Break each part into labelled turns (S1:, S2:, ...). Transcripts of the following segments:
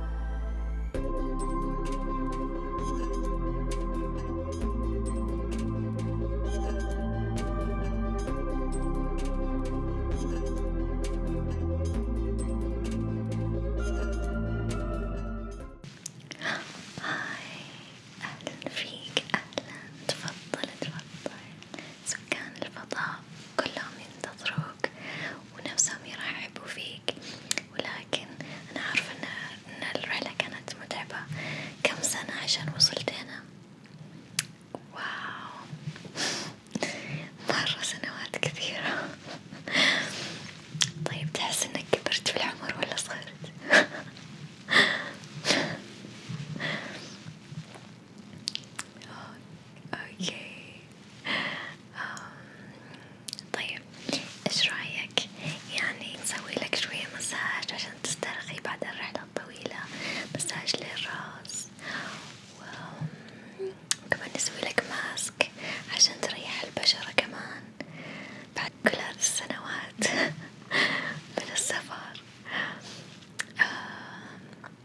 S1: هاي أهلا فيك أهلا تفضل تفضل سكان الفضاء كلهم ينتظروك يحبوك ونفسهم يرحبوا فيك ولكن أنا عارفة إن, إن الرحلة كانت متعبة كم سنة عشان وصلت هنا واو مرة سنوات كثيرة طيب تحس إنك كبرت في العمر ولا صغرت؟ اوكي طيب ايش رايك يعني نسوي لك شوية مساج عشان تسترخي بعد الرحلة الطويلة مساج للراس وكمان نسوي لك ماسك عشان تريح البشرة كمان بعد كل هذه السنوات من السفر آه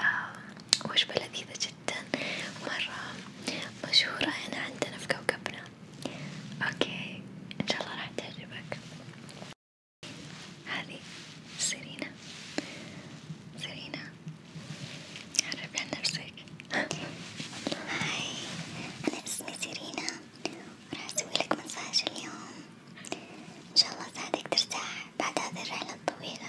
S1: آه، وجبة لذيذة جدا مرة مشهورة هنا عندنا في كوكبنا اوكي ان شاء الله راح تعجبك هذي سيرينا سيرينا عرفي عن نفسك هاي انا اسمي سيرينا وراح اسويلك مساج اليوم ان شاء الله اساعدك ترتاح بعد هذه الرحلة الطويلة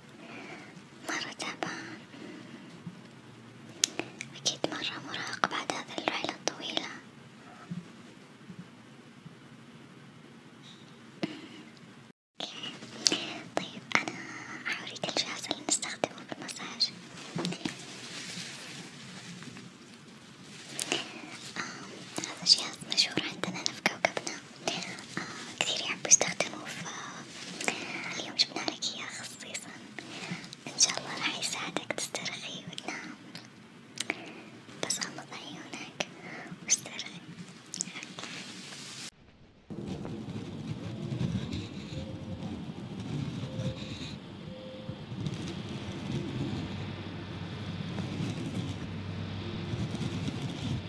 S1: مرة تعبان أكيد مرة مراهق بعد هذه الرحلة الطويلة طيب أنا حوريك الجهاز اللي نستخدمه في المساج آه، هذا جهاز مشهور عندنا في كوكبنا آه كثير يحبوا يعني يستخدموه فاليوم جبنا لك إياه خصيصا إن شاء الله راح يساعدك تسترخي وتنام بس غمض عيونك واسترخي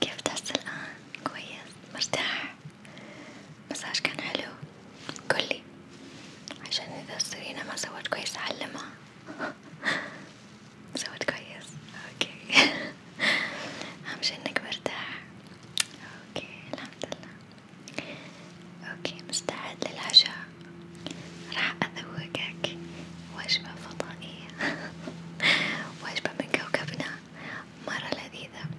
S1: كيف تحس الآن؟ كويس؟ مرتاح؟ مساج كان حلو قولي عشان إذا سرينا ما سوت كويس أعلمها سوت كويس أوكي أهم شي إنك مرتاح أوكي الحمد لله أوكي مستعد للعشاء راح أذوقك وجبة فضائية وجبة من كوكبنا مرة لذيذة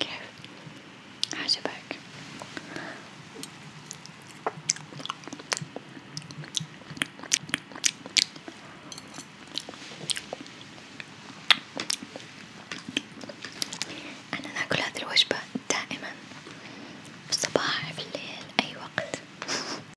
S1: كيف عجبك أنا ناكل هذه الوجبة دائما في الصباح في الليل أي وقت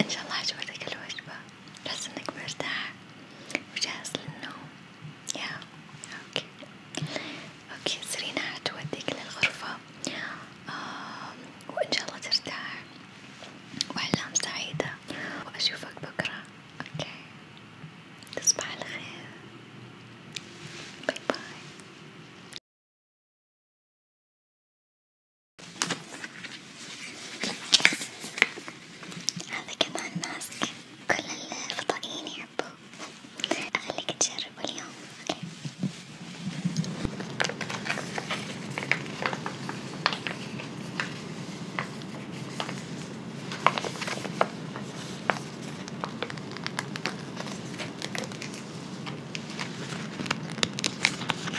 S1: إن شاء الله عجبتك الوجبة تحس إنك مرتاح وجاهز للنوم يا أوكي أوكي سرينا حتوديك للغرفة آه. وإن شاء الله ترتاح وأحلام سعيدة وأشوفك بكرة أوكي تصبح على خير باي باي هذا كمان ماسك كل الفضائيين يحبوه أخليك تجربه اليوم أوكي.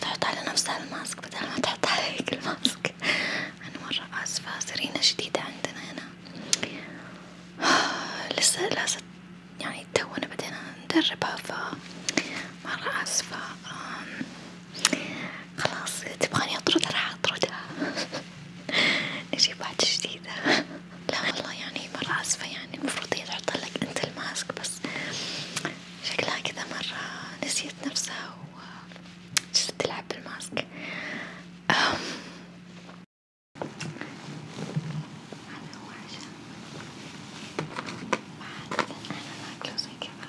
S1: تحط على نفسها الماسك بدل ما تحط عليك الماسك أنا مرة آسفة سرينة جديدة عندنا هنا لسه لازم يعني تونا بدينا ندربها ف مرة آسفة خلاص تبغاني أطرد راح أطردها نجيب واحدة جديدة لا والله يعني مرة آسفة يعني المفروض هي تحط لك أنت الماسك بس شكلها كذا مرة نسيت نفسها وجالسة تلعب بالماسك أم. هذا هو عشاء ما أنا ناكله زي كذا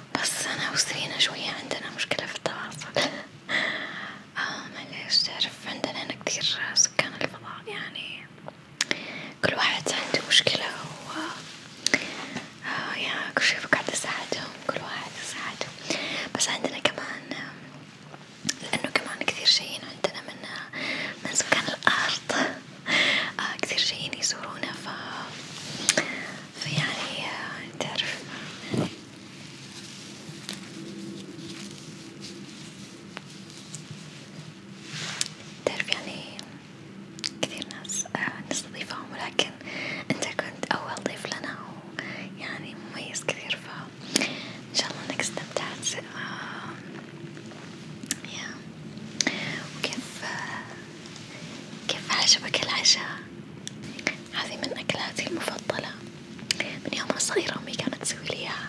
S1: بس أنا وسرينا شوية عندنا مشكلة في التواصل آه معليش تعرف عندنا هنا كتير سكان الفضاء يعني كل واحد عنده مشكلة و آه يعني كل شي بقعد أساعدهم كل واحد يساعده بس عندنا كمان لأنه كمان كثير شيء عندنا من من سكان الأرض آه كثير جايين يزورونا ف فيعني آه تعرف تعرف يعني كثير ناس آه نستضيفهم ولكن انت كنت اول ضيف لنا ويعني مميز كثير ف ان شاء الله انك استمتعت آه يا وكيف آه، كيف عجبك العشاء؟ هذه من أكلاتي المفضلة من يوم أنا صغيرة أمي كانت تسوي لي إياها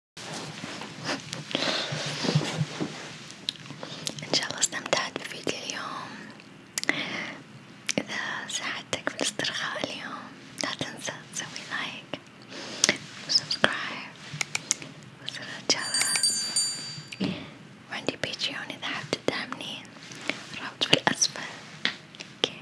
S1: ان شاء الله استمتعت بفيديو اليوم اذا ساعدتك في الاسترخاء اليوم لا تنسى تسوي لايك وسبسكرايب وزر الجرس وعندي بيتريون اذا حاب تدعمني الرابط في الاسفل اوكي